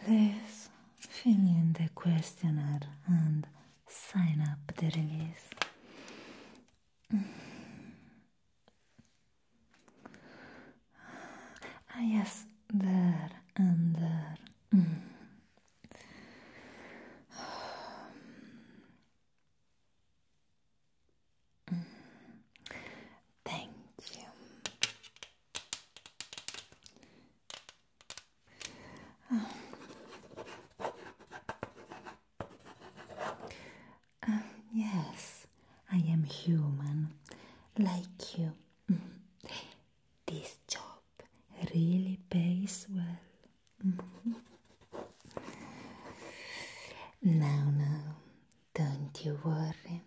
Please fill in the questionnaire and sign up the release. Ah, yes, there and there. Thank you. Ah. Ah, yes, I am human like you. This job really pays well. now, now, don't you worry.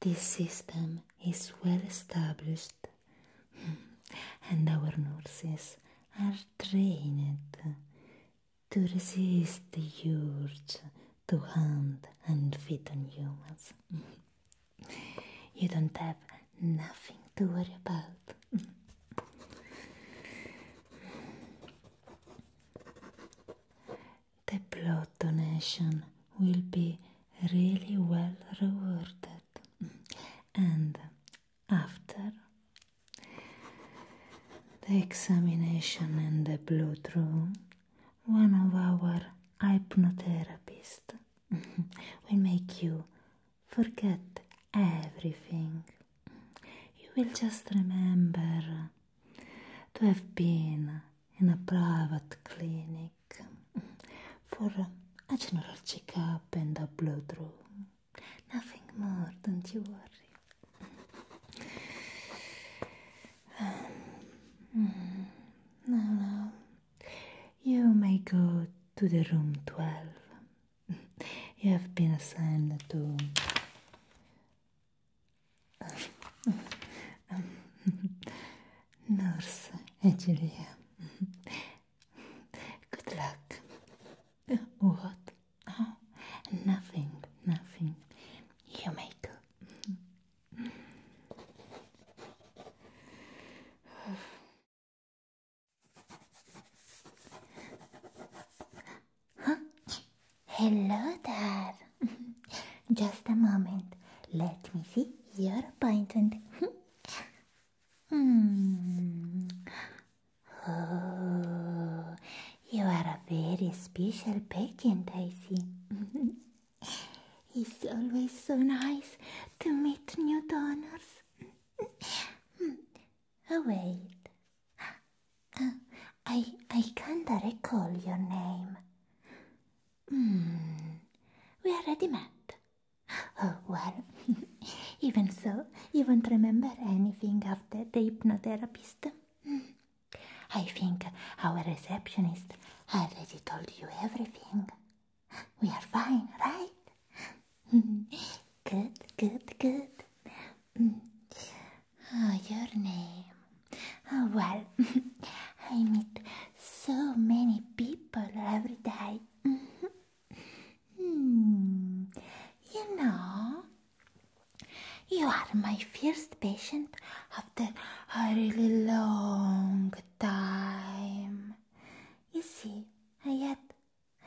This system is well established. and our nurses are trained to resist the urge to hunt and feed on humans. you don't have nothing to worry about. the blood donation will be really well rewarded and after the examination and the blood room, one of our hypnotherapists will make you forget everything. You will just remember to have been in a private clinic for a general checkup and a blood room. Nothing more, don't you worry. um, mm, You may go to the room 12. you have been assigned to. Um, um, nurse Angelia. Good luck. What? Oh, nothing, nothing. You may go. Hello there. Just a moment. Let me see your appointment. Hmm. Oh, you are a very special patient, Daisy. see. it's always so nice to meet new donors. Hmm. Oh, wait. Uh, I, I can't recall your name. Hmm. We already met. Oh, well, even so, you won't remember anything after the hypnotherapist. Hmm. I think our receptionist already told you everything. We are fine, right? good, good, good. Hmm. Ah, your name. Ah, well, I meet so many people every day. Hmm. Hmm, you know, you are my first patient after a really long time. You see, I had,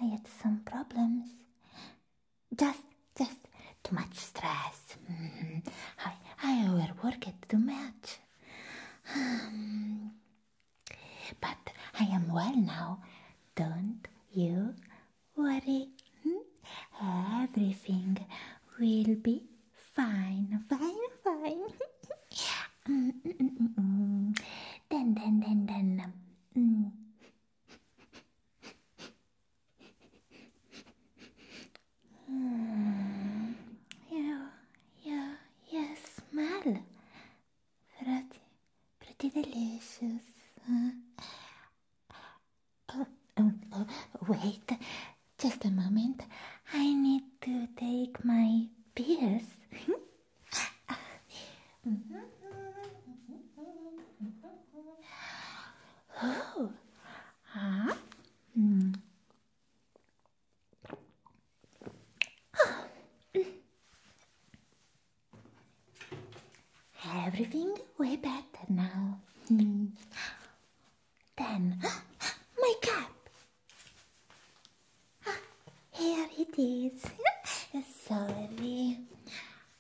I had some problems. Just, just too much stress. Mm-hmm. I, I overworked too much. Um, but I am well now. Don't you worry. Hmm? Everything will be fine, fine, fine. Mm, mm, mm -mm -mm. Then, then, then, then. Um, mm. you, you, you smell pretty, pretty delicious. Ah. Oh, oh, oh, wait, just a moment. I need to take my pills. oh, ah, hmm. Everything way better now. Hmm. Then, my cap. here it is. Sorry.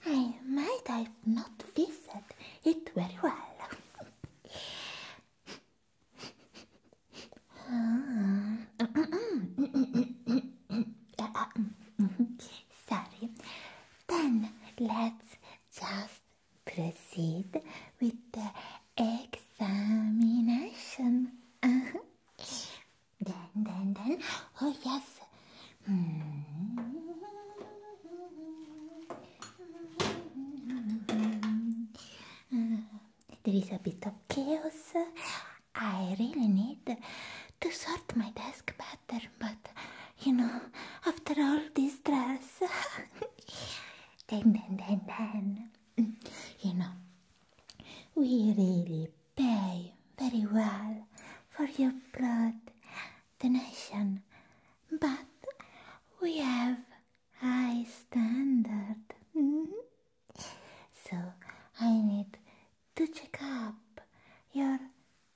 I might have not visited it very well. Ah. Sorry. Then let's just proceed with the examination. Uh-huh. Then, then, then. Oh, yes. Hmm there is a bit of chaos. I really need to sort my desk better, but you know, after all this stress, then, then, then, then, you know, we really pay very well for your blood donation, but we have high standard. So I need to check up your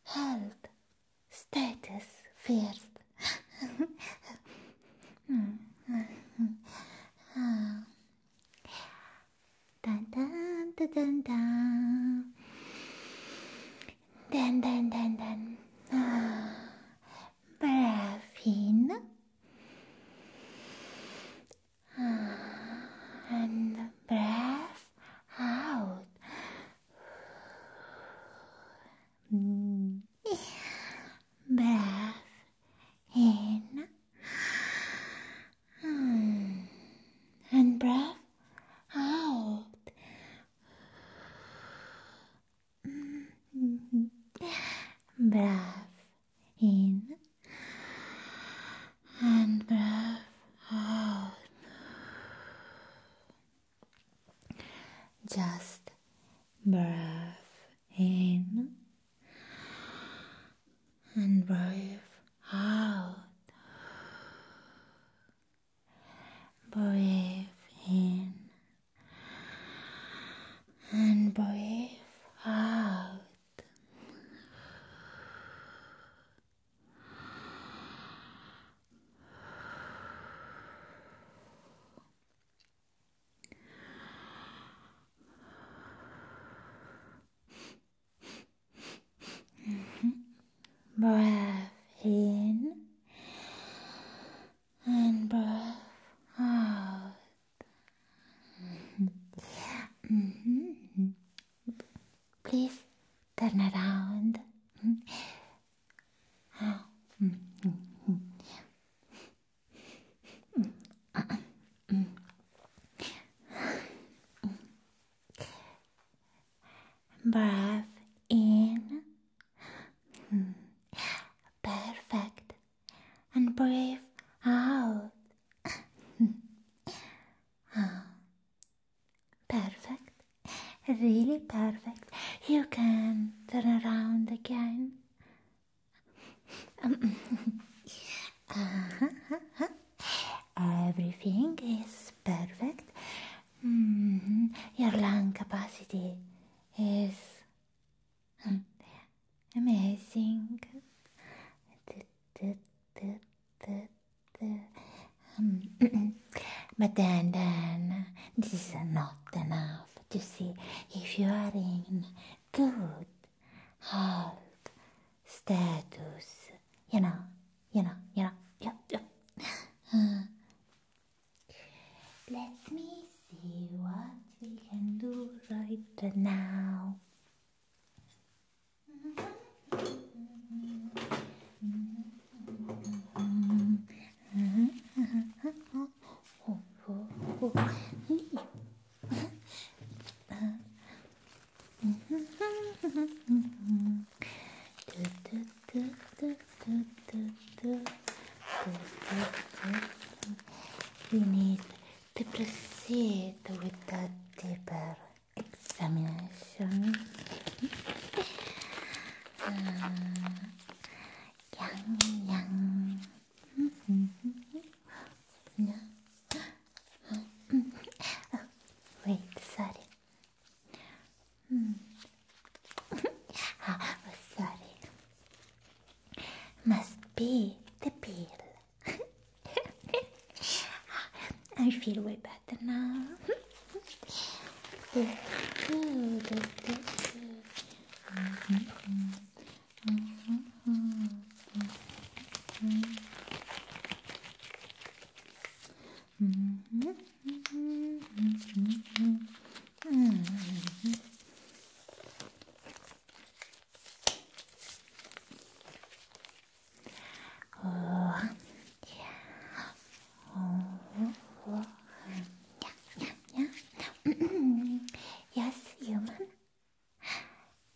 health status first. oh. Dun dun dun dun dun. Dun dun dun dun. Ah. Braffin and breath out. breath in and breath out. breath in and breathe out. Just breath in and breathe out. Breathe in and breathe out. Breath in and breath out. Mm-hmm. Please turn around. Breath in. Perfect and breathe out. ah, perfect, really perfect. You can turn around again. Uh-huh. Everything is perfect. Mm-hmm. Your lung capacity is Amazing. but then, then, this is not enough to see if you are in good health status. You know, you know, you know. let me see what we can do right now. We need to proceed with the deeper examination. uh, yum, yum. wait, sorry. Ah, sorry. Must be the pill. I feel way better now. Oh, yeah. Oh, oh. yeah, yeah, yeah. yes, human.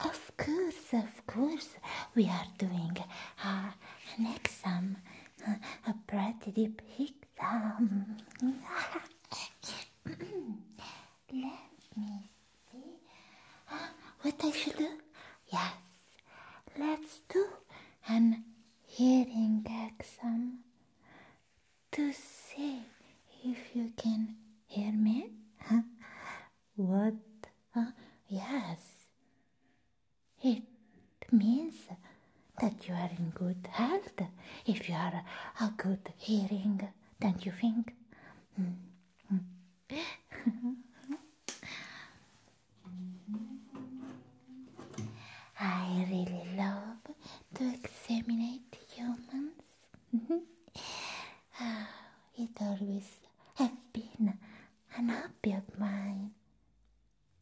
Of course, of course, we are doing uh, an exam, a pretty deep exam. let me see what I should do. Yes, let's do an hearing exam to see if you can hear me. what? Uh, yes, it means that you are in good health if you are a good hearing, don't you think? Hmm. Mm. I really love to examine humans. Ah, it always has been an hobby of mine.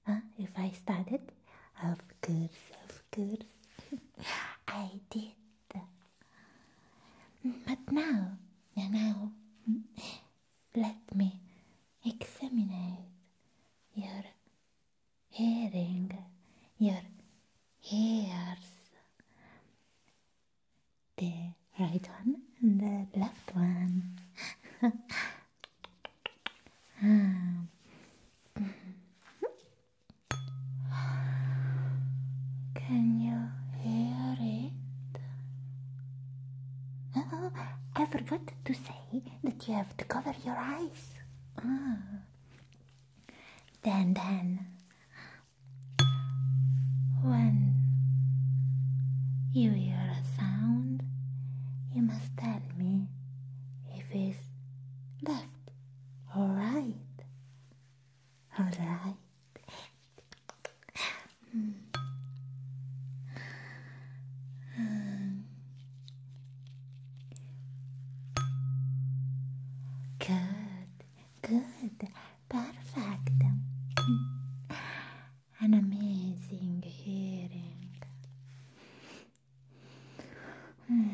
Ah, if I started, of course, of course, I did. But now, now, let me examine your hearing, your ears. The right one and the left one. Ah. Can you hear it? Oh, I forgot to say that you have to cover your eyes. Ah. Then, then, when you hear a sound, you must tell me if it's left or right. All right. Good, perfect, an amazing hearing hmm.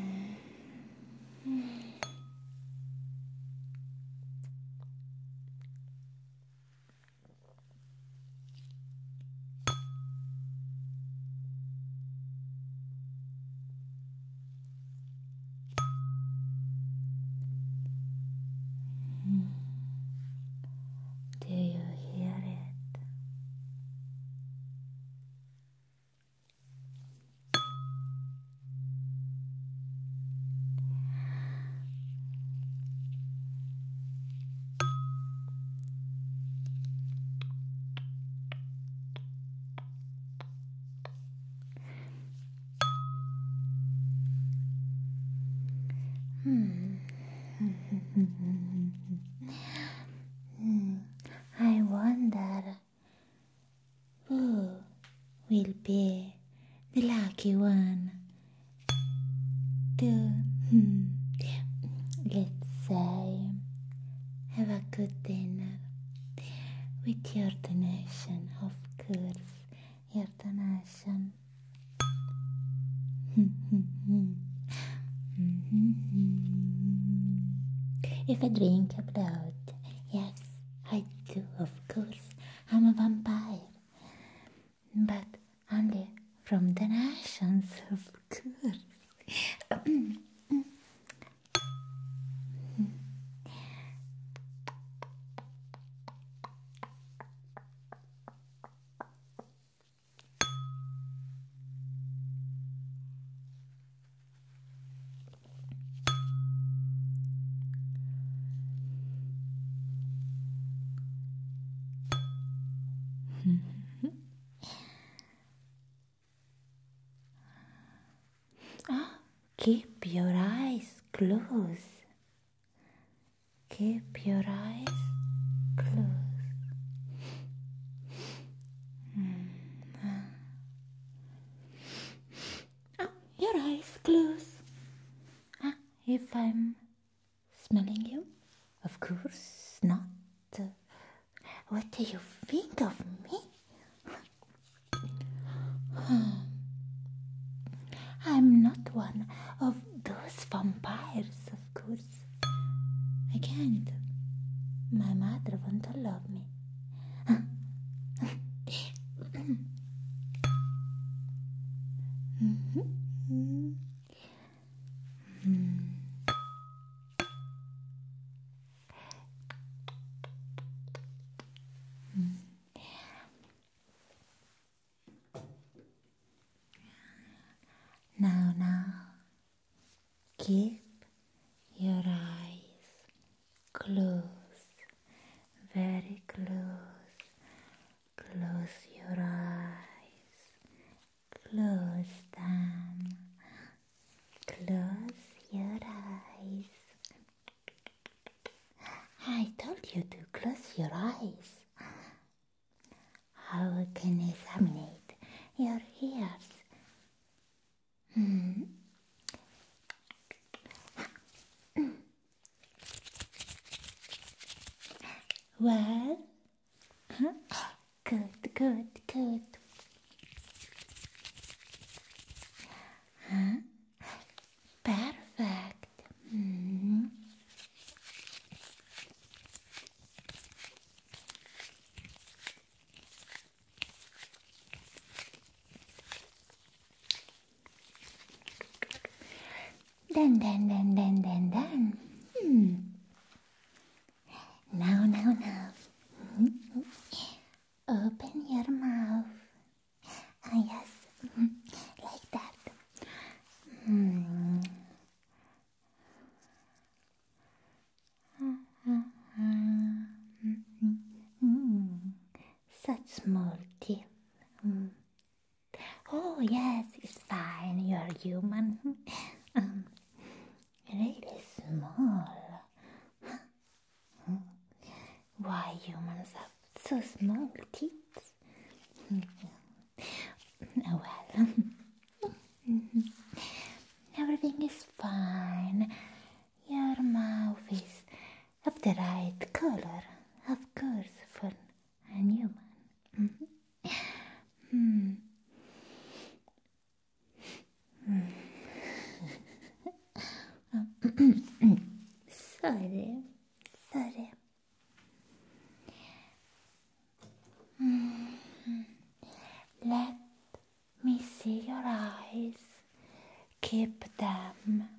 Do you hear it? Hmm. I wonder who will be the lucky one? To, hmm. let's say, have a good dinner with your donation, of course, your donation. if I drink a abroad, yes. I do, of course. I'm a vampire. But only from the nations, of course ah, keep your eyes closed. Keep your eyes closed. Hmm. Oh, your eyes close. Ah, if I'm smelling you? Of course not. what do you think of me? Hmm. I'm not one of those vampires, of course. I can't. My mother won't love me. Now, now, keep your eyes close, very close. Close your eyes, close them, close your eyes. I told you to close your eyes. How can I examine your ears? Hmm. well, good, good, good. Perfect. Hmm. Then, then, then, then, then, then. Hmm. Now, now, now. Hmm. Open your mouth. Ah, yes. Hmm. Like that. Ah. Such small teeth. Oh, yes, it's fine. You are human. really small. Why humans have so small teeth? well. Everything is fine. Your mouth is of the right color, of course, for a human. Mm-hmm. Mm-hmm. sorry, sorry. Mm-hmm. Let me see your eyes. Keep them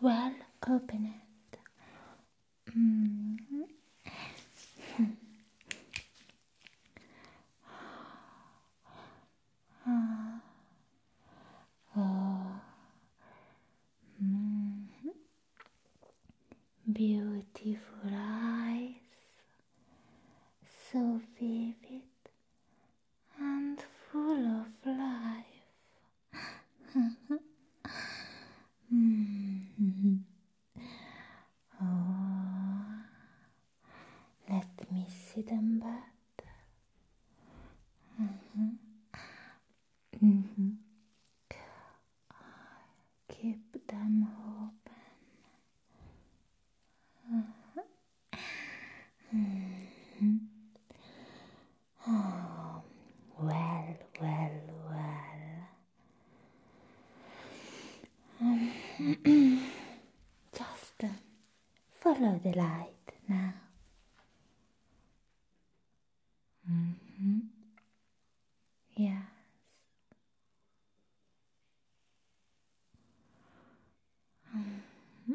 well opened. Mm -hmm. Beautiful eyes, so vivid and full of life. Oh, let me see them better. Keep them open. oh, well, well, well. Um, Just follow the light now. Mm-hmm. Yes. Mm-hmm.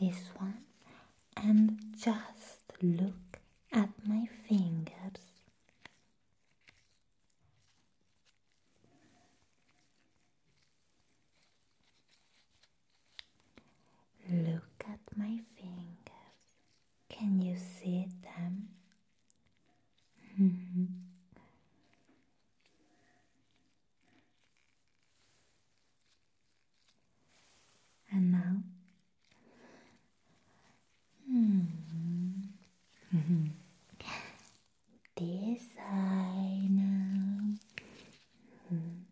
this one and just look at my fingers. Look at my fingers. Can you see them? Hmm. And now? Hmm. this eye now. Hmm.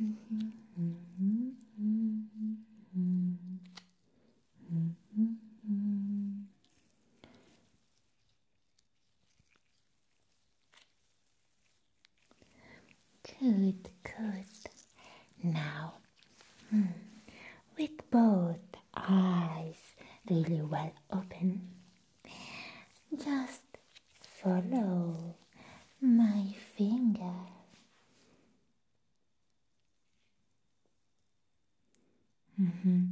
-hmm, -hmm, -hmm, -hmm. Good, good. Now, hmm, with both eyes really well open, just follow my finger hmm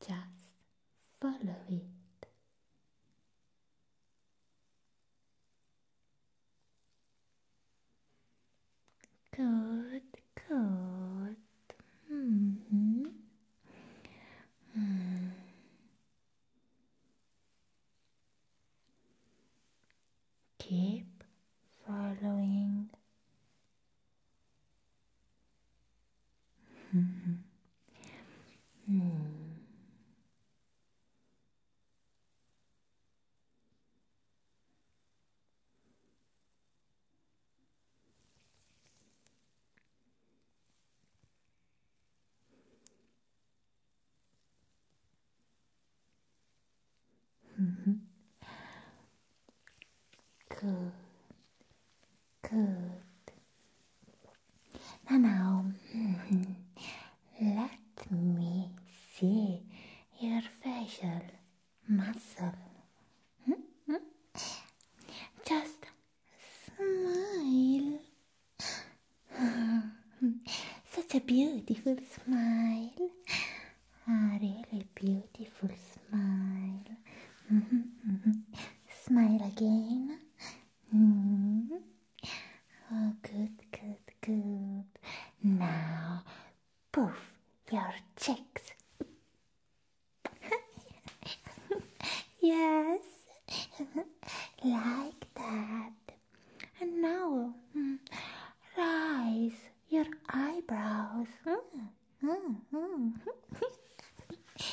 Just follow it. Good, good. Mm-hmm. Mm -hmm keep following. Hmm good, good. Now, hmm, let me see your facial muscle. Hmm, hmm, Just smile. Such a beautiful smile. A ah, really beautiful smile. Mm-hmm, mm-hmm. Smile again. Mm-hmm. Oh, good, good, good. Now, poof, your cheeks. yes, like that. And now, mm, rise your eyebrows. Mm, mm,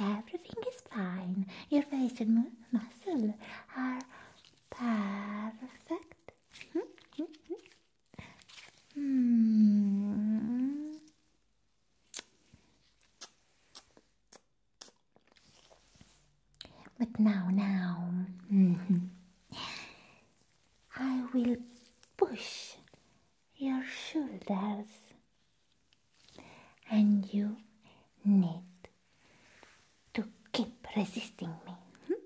Everything is fine. Your face and muscle are perfect. Hmm. But now, now, mm-hmm. I will push your shoulders and you need to keep resisting me.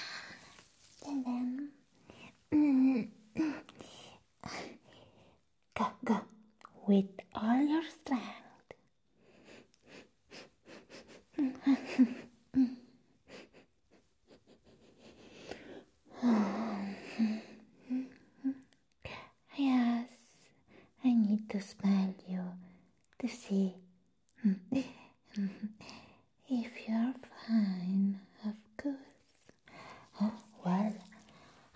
and then go, go with all your strength yes, I need to smell you to see if you're fine, of course. Oh, well,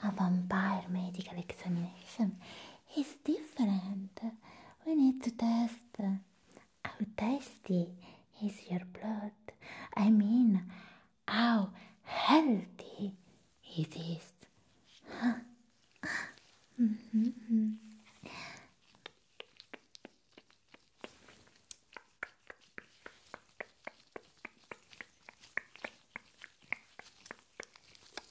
a vampire medical examination it's different. We need to test how tasty is your blood. I mean, how healthy it is.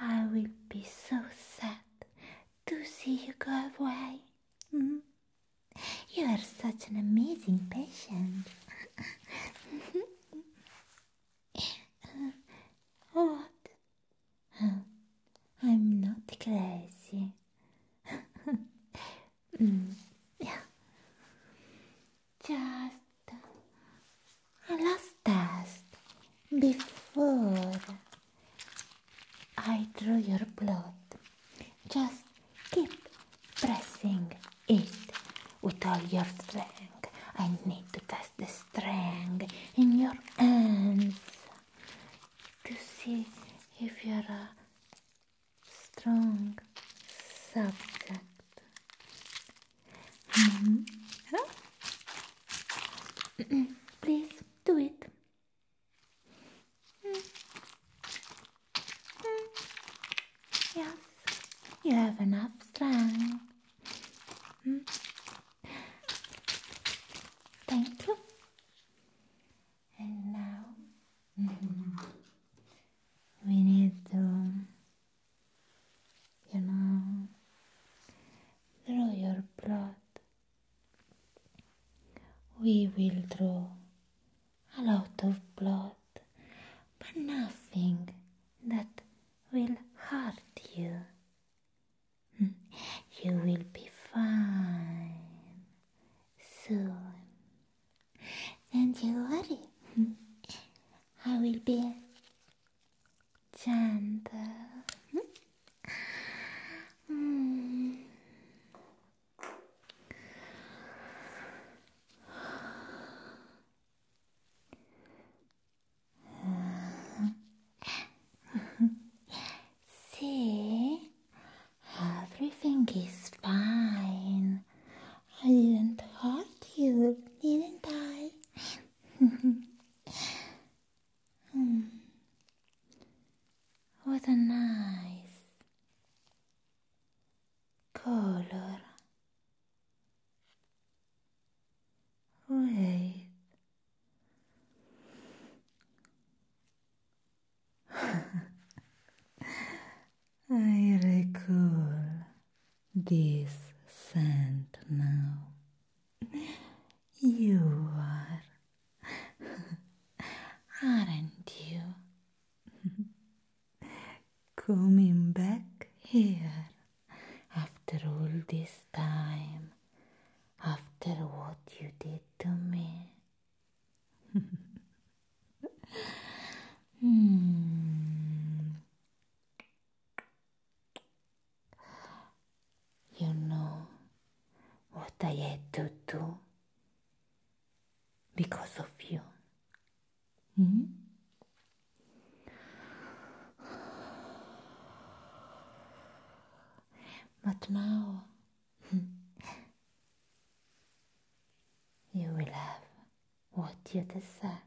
I will be so sad to see you go away. Hmm? You are such an amazing patient. Oh, what? I'm not crazy. Hmm. yeah. Just last a last test before I draw your blood. Just keep pressing it with all your strength. I need to test the strength in your hands to see if you're a strong subject. Please do it. Yes, you have enough strength. Thank you. And now we need to you know, through your blood. We will draw a lot of blood, but nothing that will hurt you. Hmm, you will be fine soon. and not you worry, hmm, I will be 真的，嗯，see, everything is fine. I didn't hurt you, did I? What a nice color. Wait. I recall this scent now. You are, aren't you? Coming back here after all this time, after what you did to me. hmm. You know what I had to do because of you. Mm-hmm. But now you will have what you deserve.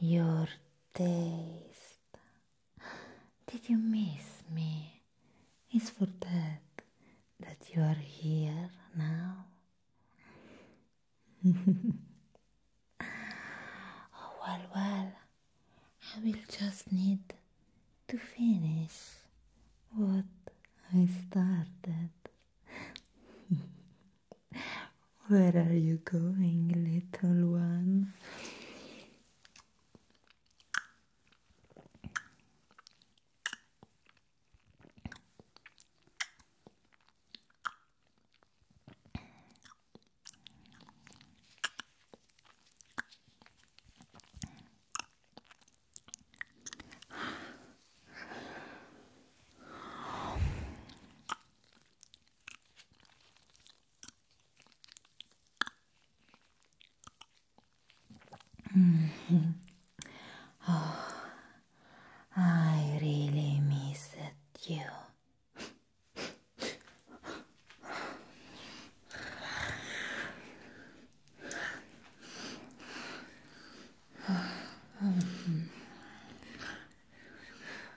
your taste. Did you miss me? It's for that that you are here now. Oh, well, well, I will just need to finish what I started. Where are you going, little one? Mm-hmm. Oh, I really missed you.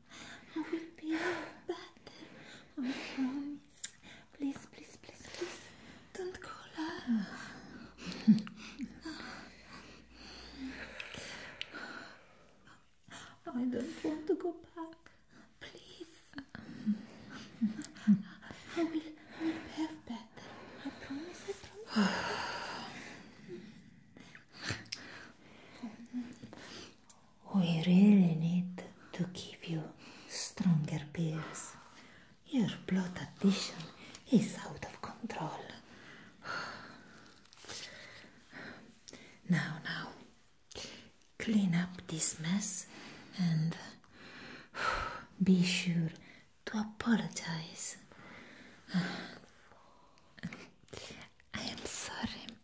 I will be your back. I promise. Please, please, please, please. Don't call her. I don't want to go back. Please. I will, I will behave better. I promise, I promise. Oh, We really need to give you stronger pills. Your blood addition is out of control. Now, now, clean up this mess and be sure to apologize. I am sorry.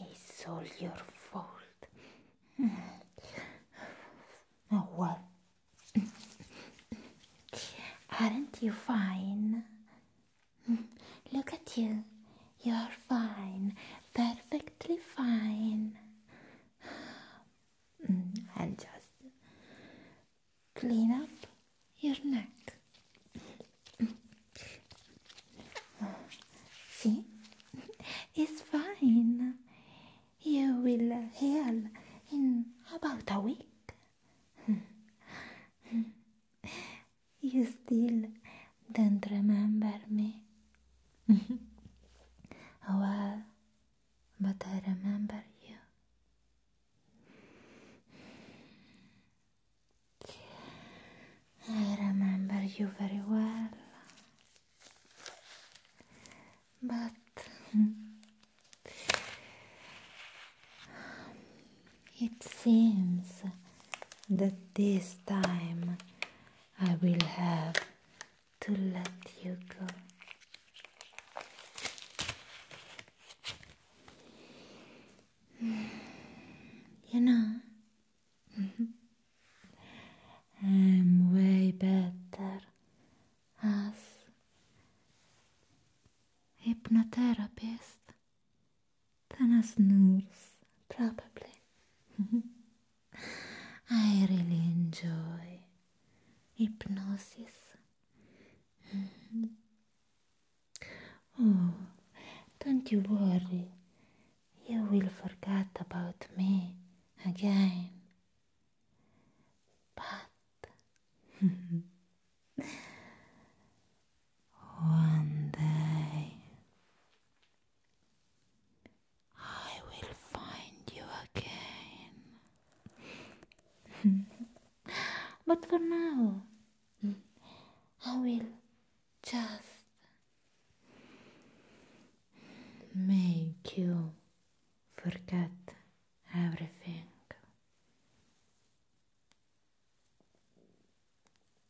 It's all your fault. Oh well. Aren't you fine? Look at you. You're fine, perfectly fine. Mm, and just clean up your neck. See? It's fine. You will heal in about a week. you still Don't remember me. well, but I remember you. I remember you very well. But it seems that this time I will have to let you go. Mm, you know, mm-hmm. I'm way better as hypnotherapist than as nurse, probably. Mm-hmm. i really enjoy hypnosis mm-hmm. oh, don't you wory you will forget about me again but on day I will find you again. but for now, I will just make you forget everything.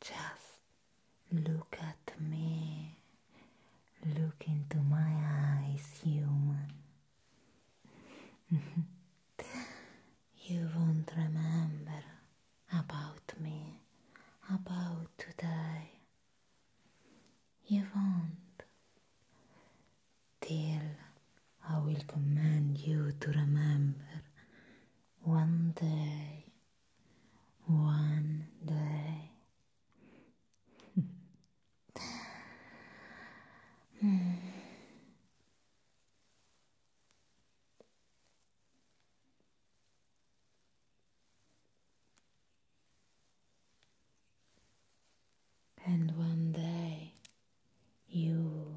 Just look at me. Look into my eyes, human. you won't remember about me, about today. You won't till I will command you to remember one day, one day. And one day you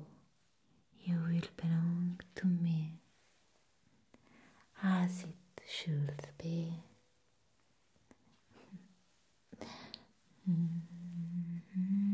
you will belong to me as it should be mm-hmm. Mm-hmm.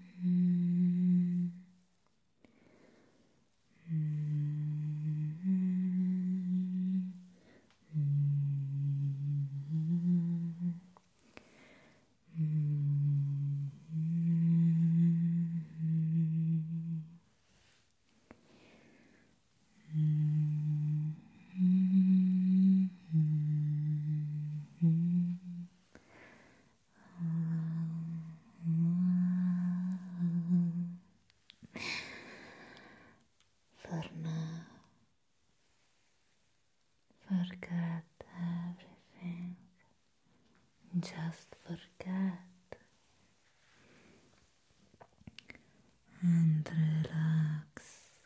Mm -hmm. Mm -hmm. -hmm. -hmm. -hmm. For now, forget everything. Just forget and relax.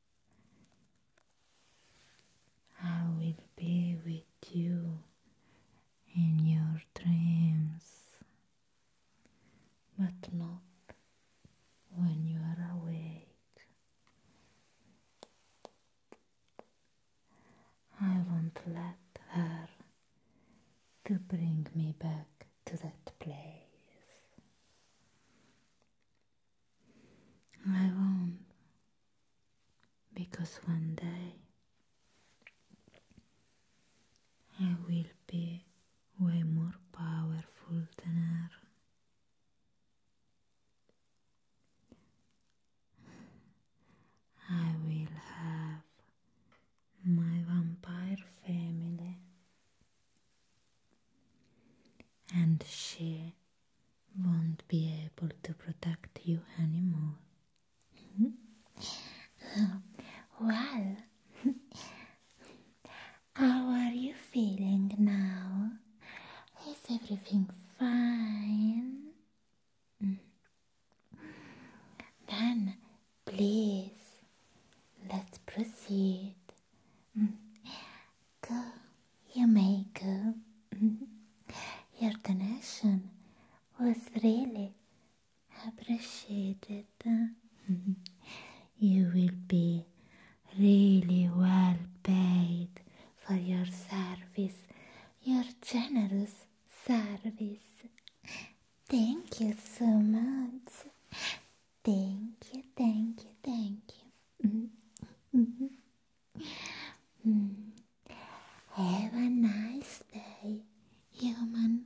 I will be with you in your dreams, but not when you are awake. I won't let her to bring me back to that place. I won't. Because one day I will be way more powerful than her. I will have my vampire family and she won't be able to protect you anymore. Hmm? well, how are you feeling now? Is everything fine? Hmm. Then, please, let's proceed. Hmm go, you may go. Your donation was really appreciated. Mm-hmm. you will be really well paid for your service, your generous service. Thank you so much. Thank you, thank you, thank you. Mm-hmm. Mm-hmm. Have a nice day, human.